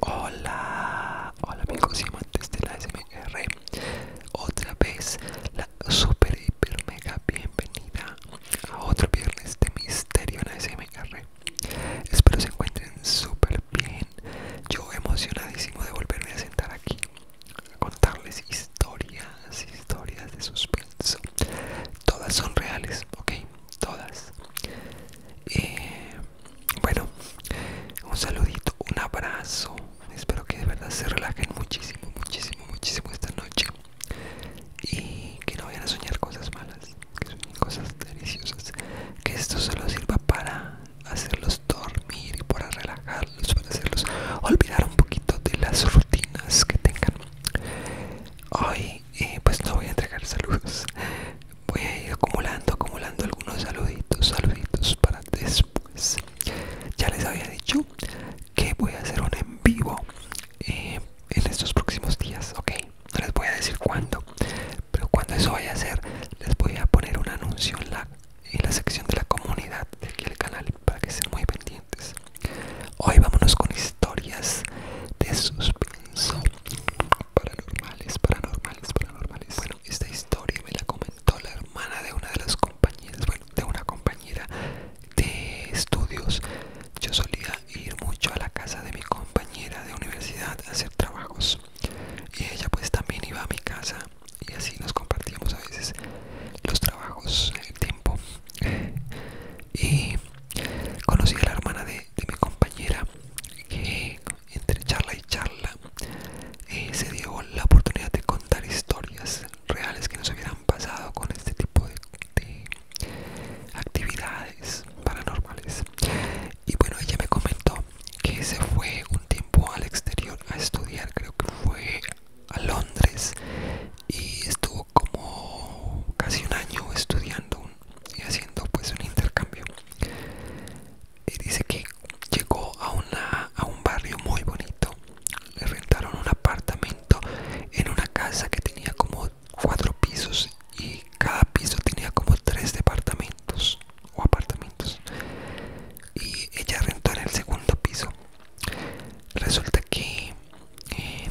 Hola, hola amigos y amantes de la SMR. Otra vez la super hiper mega bienvenida a otro viernes de misterio en la SMR. Espero se encuentren súper bien. Yo emocionadísimo de volverme a sentar aquí a contarles historias, historias de suspenso. Todas son reales, ok todas eh, bueno un saludito un abrazo espero que de verdad se relajen muchísimo muchísimo muchísimo esta noche y que no vayan a soñar cosas malas que cosas deliciosas que esto solo sirva para hacerlos dormir y para relajarlos para hacerlos olvidar un poquito de las rutinas que tengan hoy eh, pues no voy a entregar saludos voy a ir acumulando acumulando algunos saluditos saluditos para después ya les había dicho que voy a hacer un en vivo eh, en estos próximos días ok no les voy a decir cuándo pero cuando eso vaya a ser les voy a poner un anuncio en la, en la sección de la comunidad de aquí del canal para que estén muy pendientes hoy vámonos con historias de suspenso paranormales, paranormales, paranormales. Bueno, esta historia me la comentó la hermana de una de las compañeras, bueno, de una compañera de estudios. Yo solía ir mucho a la casa de mi compañera de universidad a hacer trabajos y ella pues también iba a mi casa y así nos compartíamos a veces los trabajos, el tiempo y conocí a la hermana de, mi compañera que entre charla y charla eh, se dio la oportunidad de contar historias reales que nos hubieran pasado con este tipo de, actividades paranormales y bueno ella me comentó que se fue un tiempo al exterior a estudiar creo que fue a Londres y estuvo como casi un año estudiando y haciendo pues un intercambio y dice que llegó a, una, a un barrio muy bonito le rentaron un apartamento en una casa que tenía como cuatro pisos y cada piso tenía como tres departamentos o apartamentos y ella rentó en el segundo piso resulta que eh,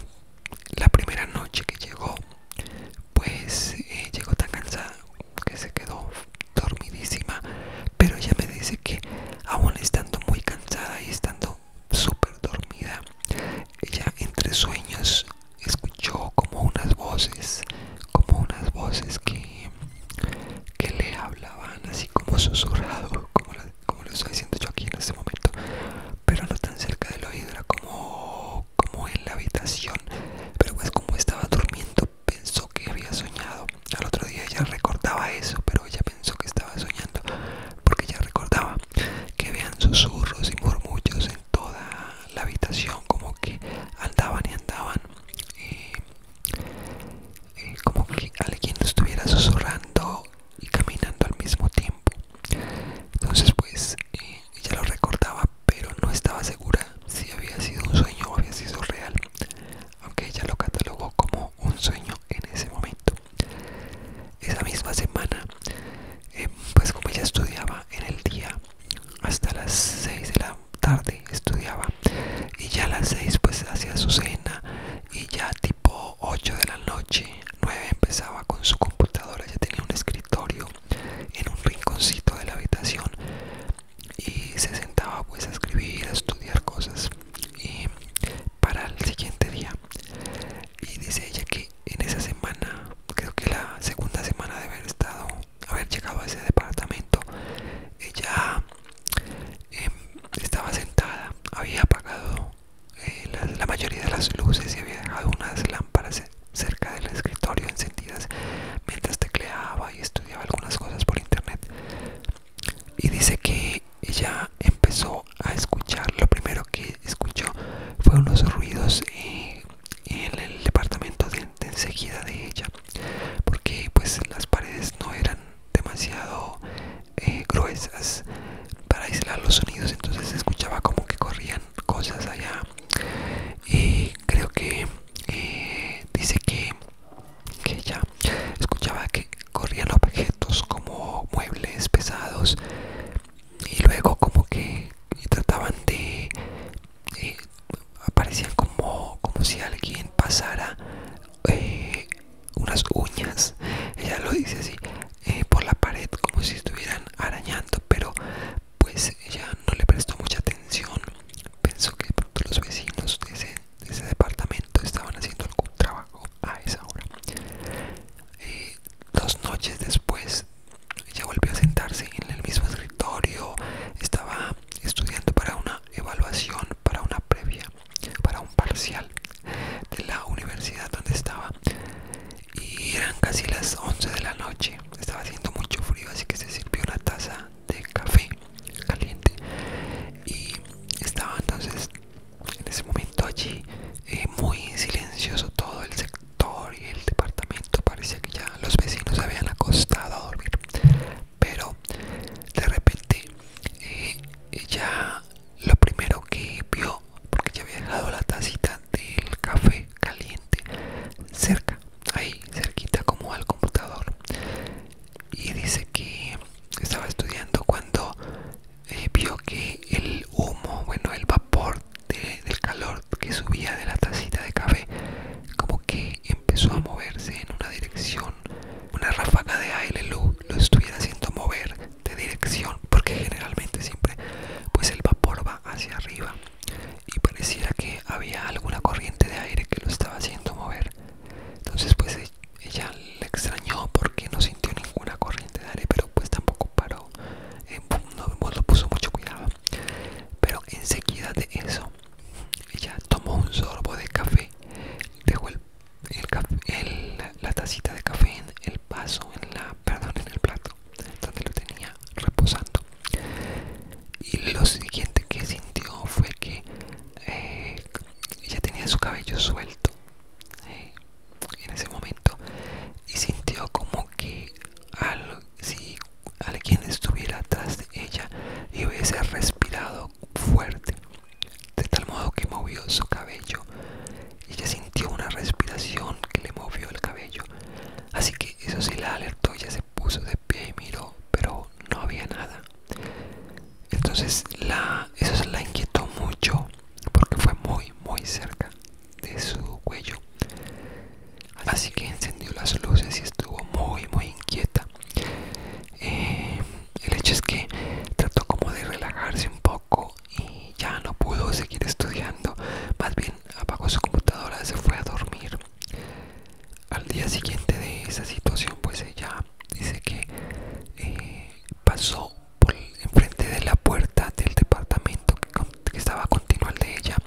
la primera noche que llegó, pues eh, llegó tan cansada que se quedó dormidísima, pero ella me dice que aún estando muy cansada y estando súper dormida, ella entre sueños escuchó como unas voces, como unas voces que, que le hablaban así como susurrado, como, como lo estoy diciendo yo aquí en este momento, pero no tan cerca del oído, era como como en la habitación, pero pues como estaba durmiendo pensó que había soñado. Al otro día ella recordaba eso, pero ella pensó que estaba soñando, porque ella recordaba que vean susurros y murmullos en toda la habitación, como que andaban y andaban, eh, eh, como que alguien estuviera susurrando y caminando al mismo tiempo. Entonces pues eh, ella lo recordaba pero no estaba segura si había sido un sueño o había sido real, aunque ella lo catalogó como un sueño en ese momento. Esa misma semana, eh, pues como ella estudiaba en el día hasta las 6 de la tarde, estudiaba y ya a las 6 pues hacía su cena y ya tipo 8 de la noche, 9 empezaba con su computadora, ya tenía un escritorio en un rinconcito de la habitación y se sentaba pues a escribir, a estudiar cosas y para el siguiente día y dice ella que en esa semana creo que la segunda semana de haber estado haber llegado a ese departamento ella em, estaba sentada había apagado eh, la, mayoría de las luces y había dejado unas lámparas cerca del escritorio encendidas mientras tecleaba y estudiaba algunas cosas por internet. Y dice que ella empezó a escuchar, lo primero que escuchó fueron unos ruidos en el departamento de, enseguida de ella, porque pues las paredes no eran demasiado eh, gruesas para aislar los sonidos, entonces escuchaba como que corrían cosas allá y creo que eh, dice que, ella escuchaba que corrían objetos como muebles pesados y luego como que trataban de eh, aparecían como, como si alguien pasara eh, unas uñas ella lo dice así por la pared como si estuvieran arañando pero pues ella no le prestó mucha atención, pensó que todos los vecinos de ese, departamento estaban haciendo algún trabajo a esa hora. Eh, dos noches después, ella volvió a sentarse en el mismo escritorio, estaba estudiando para una evaluación, para una previa, para un parcial de la universidad donde estaba y eran casi las 11 de la noche. Estaba haciendo mucho frío, así que se sirvió una taza de café caliente y estaba entonces en ese momento allí eh, muy silencioso todo el sector y el departamento. Parecía que ya los vecinos habían acostado a dormir, pero de repente eh, ella lo primero que vio, porque ya había dejado la tacita del café caliente cerca, ahí cerquita como al computador. Y dice que estaba estudiando cuando eh, vio que el humo, bueno, el vapor del calor que subía de la tacita de café, como que empezó a moverse en una dirección, una ráfaga de aire lo, lo estuviera haciendo mover de dirección, porque generalmente siempre pues el vapor va hacia arriba y pareciera que había alguna corriente de aire que lo estaba haciendo mover. Entonces pues e-, ella le extrañó porque no sintió ninguna corriente de aire, pero pues tampoco paró, el no, lo puso mucho cuidado. Pero enseguida de eso, ella tomó un sorbo de café, dejó el, la tacita de café en el vaso, en la, perdón, en el plato donde lo tenía reposando y lo siguiente que sintió fue que ella eh, tenía su cabello suelto eh, en ese momento y sintió como que si alguien estuviera atrás de ella y hubiese respirado fuerte de tal modo que movió su cabello ella sintió una respiración que le movió el cabello Así que eso sí la alertó, ya se puso de pie y miró, pero no había nada. Entonces la, eso la inquietó mucho porque fue muy, muy cerca de su cuello. Así que encendió las luces y estuvo muy, muy inquieta. Eh, el hecho es que trató como de relajarse un poco y ya no pudo seguir estudiando. Más bien apagó su computadora y se fue a dormir. Al día siguiente de esa situación, pues ella dice que eh, pasó por enfrente de la puerta del departamento que, estaba continuo al de ella.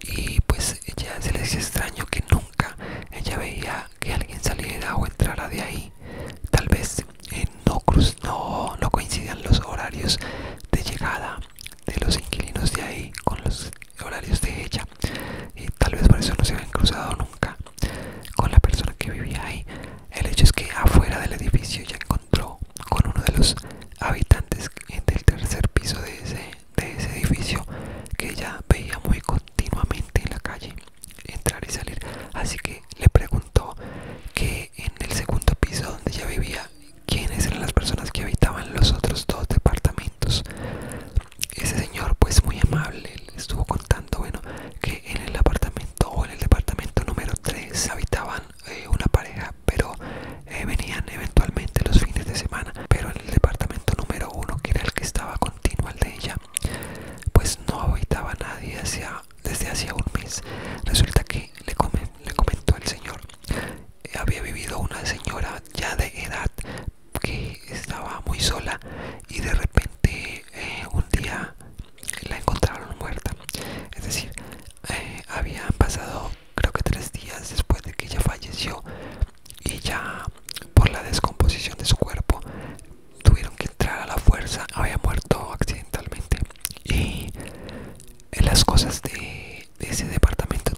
Y pues ella se le hizo extraño que nunca ella veía que alguien saliera o entrara de ahí. Tal vez eh, no, cruz, no coincidían los horarios de llegada de los inquilinos de ahí con los horarios de ella y tal vez por eso no se habían cruzado nunca con la persona que vivía ahí el hecho es que afuera del edificio ya encontró con uno de los habitantes del tercer piso de ese, de ese edificio que ella veía muy continuamente en la calle entrar y salir así que le preguntó que en el segundo piso donde ella vivía quiénes eran las personas que habitaban los otros dos departamentos. Ese señor, pues muy amable, estuvo contando, bueno, que en el apartamento o en el departamento número 3 habitaban eh, una pareja, pero eh, venían eventualmente los fines de semana, pero en el departamento número 1, que era el que estaba continuo al de ella, pues no habitaba nadie hacia, desde hacía un mes. Resulta que le comentó el señor había vivido una señora ya de edad que estaba muy sola y de repente eh, un día la encontraron muerta es decir eh, habían pasado creo que tres días después de que ella falleció y ya por la descomposición de su cuerpo tuvieron que entrar a la fuerza había muerto accidentalmente y las cosas de, ese departamento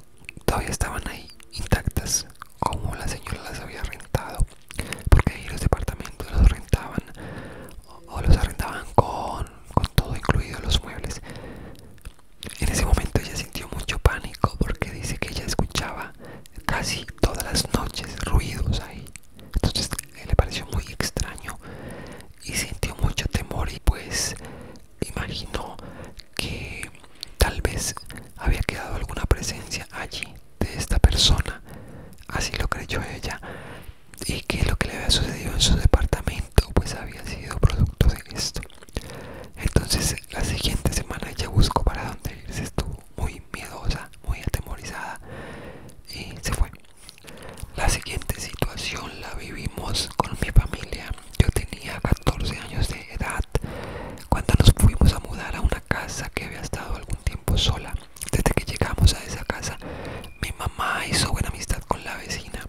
todavía estaban ahí intactas como la señora las había rentado porque ahí los departamentos los rentaban o, los arrendaban con, con todo incluido los muebles en ese momento ella sintió mucho pánico porque dice que ella escuchaba casi todas las noches ruidos ahí entonces le pareció muy extraño y sintió mucho temor y pues imaginó que tal vez había quedado alguna presencia allí de esta persona, así lo creyó ella, y que lo que le había sucedido en su departamento pues había sido producto de esto. Entonces la siguiente semana ella buscó para dónde irse, estuvo muy miedosa, muy atemorizada y se fue. La siguiente situación la vivimos con mi familia yo tenía 14 años de edad cuando nos fuimos a mudar a una casa que había estado algún tiempo sola. Desde que llegamos a esa casa, mi mamá hizo buena amistad con la vecina.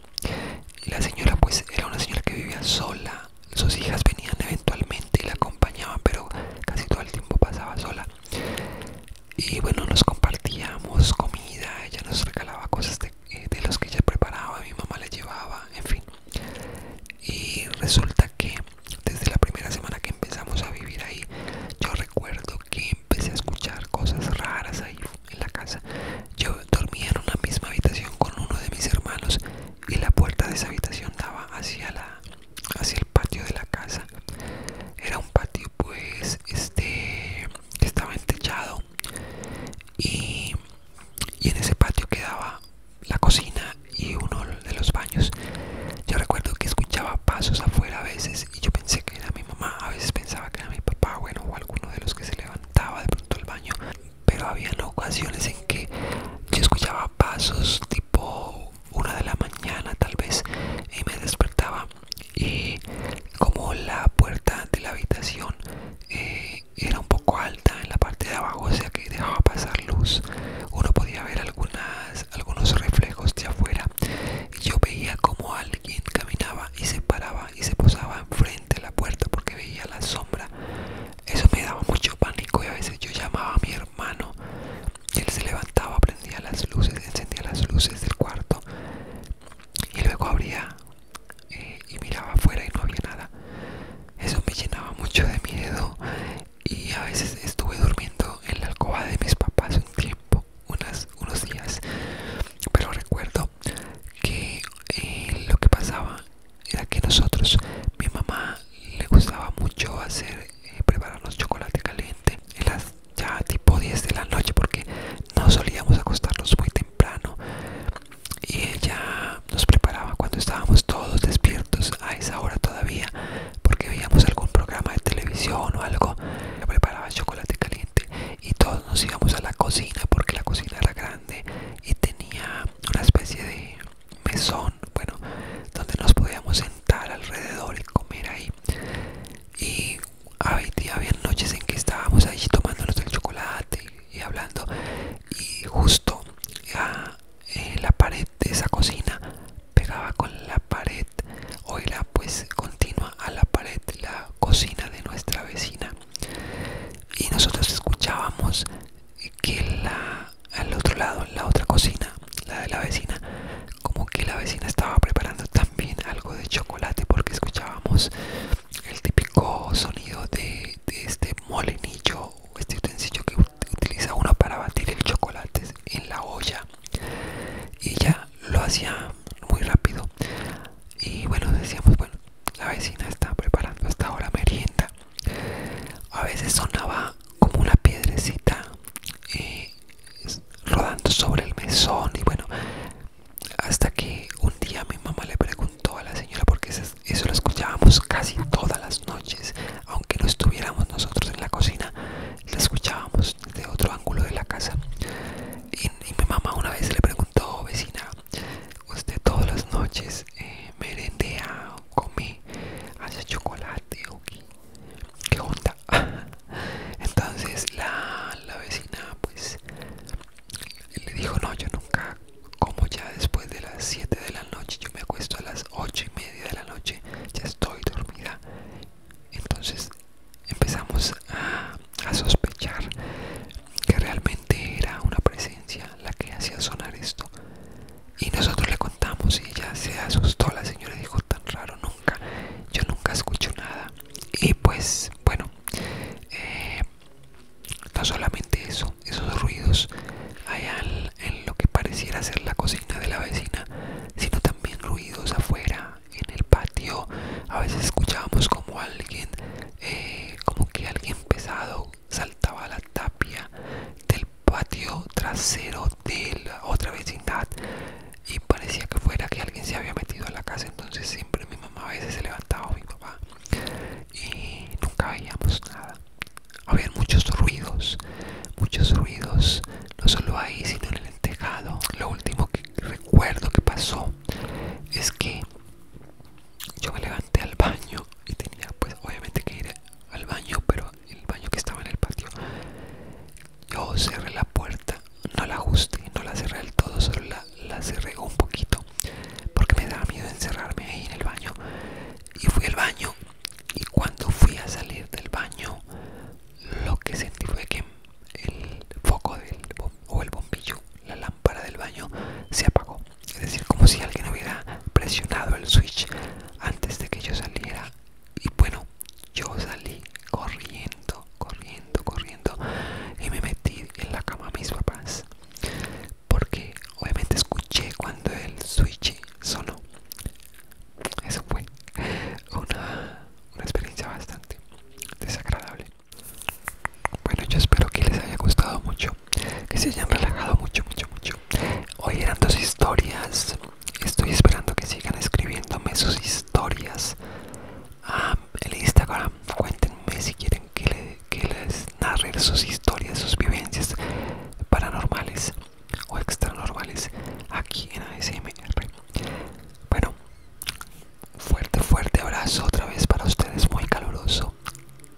La señora pues era una señora que vivía sola. Sus hijas venían eventualmente y la acompañaban, pero casi todo el tiempo pasaba sola. Y bueno, nos compartíamos comida, ella nos regalaba cosas de eh, de, los que ella preparaba, mi mamá les llevaba, en fin. Y resulta que desde la primera semana que empezamos a vivir ahí, yo recuerdo que empecé a escuchar cosas raras ahí en la casa. Yo dormía en una misma habitación con uno de mis hermanos y la puerta de esa habitación daba hacia la hacia el patio de la casa. Era un patio pues este estaba entechado y y en ese patio quedaba la cocina y uno de los baños. Yo recuerdo que escuchaba pasos afuera a veces y yo pensé que era mi mamá, a veces pensaba que era mi papá, bueno, o alguno de los que se levantaba de pronto al baño, pero había ocasiones en que yo escuchaba pasos tipo una de la mañana tal vez y me despertaba y como la puerta de la habitación eh, era un poco alta en la parte de abajo, o sea que dejaba pasar luz. Uno podía ver algunos reflejos de afuera. Yo veía como alguien caminaba y se paraba y se posaba enfrente de la puerta porque veía la sombra. Eso me daba mucho pánico y a veces yo llamaba a mi hermano. y Él se levantaba, prendía las luces, encendía las luces del cuarto y luego abría eh, y miraba afuera y no había nada. Eso me llenaba mucho de miedo y a veces estuve durmiendo en la alcoba de mis papás un tiempo, unas, unos días. Pero recuerdo que eh, lo que pasaba era que nosotros, mi mamá le gustaba mucho hacer, eh, prepararnos chocolate caliente en las ya tipo 10 de la noche porque no solíamos acostarnos muy temprano y ella nos preparaba cuando estábamos todos despiertos a esa hora todavía porque veíamos algún programa de televisión o algo ella preparaba chocolate caliente y todos nos íbamos a la cocina porque la cocina era grande y tenía una especie de mesón bueno donde nos podíamos sentar alrededor y comer ahí y había noches en que estábamos ahí tomándonos el chocolate y hablando y justo a eh, la pared de esa cocina pegaba con la pared o era pues continua a la pared la cocina de nuestra vecina y nosotros escuchábamos que la al otro lado la otra cocina la de la vecina como que la vecina estaba preparando también algo de chocolate porque escuchábamos el típico sonido de, este molenillo este utensilio que utiliza uno para batir el chocolate en la olla y ya lo hacía muy rápido y bueno decíamos bueno la vecina está preparando hasta ahora merienda a veces sonaba como una piedrecita eh, rodando sobre el mesón y bueno hasta que un día mi mamá le preguntó a la señora porque eso lo escuchábamos casi todas las noches aunque no estuviéramos nosotros en la cocina la escuchábamos de otro ángulo de la casa y, mi mamá una vez le preguntó oh, vecina usted todas las noches eh, merendea o come chocolate o qué, onda entonces la, la vecina pues le dijo no yo nunca como ya después de las 7 de la noche yo me acuesto a las 8 y media de la noche ya estoy dormida entonces empezamos a, sospechar que realmente era una presencia la que hacía sonar esto y nosotros le contamos y ella se asustó la señora dijo tan raro nunca yo nunca escucho nada y pues bueno eh, no solamente eso, esos ruidos allá en lo que pareciera ser la cocina de la vecina, sino también ruidos afuera, en el patio. A veces escuchábamos como alguien, eh, como que alguien pesado saltaba la tapia del patio trasero de la otra vecindad y parecía que fuera que alguien se había metido a la casa. Entonces siempre mi mamá a veces se levantaba, mi papá y nunca veíamos nada. Habían muchos ruidos, muchos ruidos, no solo ahí, sino en el tejado. Lo último que recuerdo que pasó es que yo me levanté al baño y tenía pues obviamente que ir al baño, pero el baño que estaba en el patio. Yo cerré la puerta, no la ajusté, no la cerré del todo, solo la, la cerré un poquito porque me daba miedo encerrarme ahí en el baño y fui al baño y cuando fui a salir del baño lo que sentí fue que el foco o el bombillo la lámpara del baño se apagó es decir como si alguien hubiera presionado el switch antes de que yo saliera y bueno yo salí corriendo corriendo corriendo y me metí en la cama a mis papás porque obviamente escuché cuando el switch sonó eso fue una, experiencia bastante desagradable bueno yo espero que les haya gustado mucho que se hayan relajado mucho mucho mucho hoy eran dos historias estoy esperando que sigan escribiéndome sus historias ah, En el instagram cuéntenme si quieren que, les narre sus historias, sus vivencias paranormales o extranormales aquí en ASMR. Bueno, fuerte, fuerte abrazo otra vez para ustedes, muy caluroso.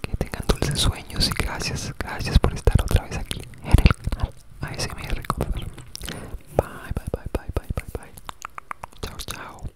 Que tengan dulces sueños y gracias, gracias por estar otra vez aquí en el canal ASMR. Bye, bye, bye, bye, bye, bye, bye. Chao, chao.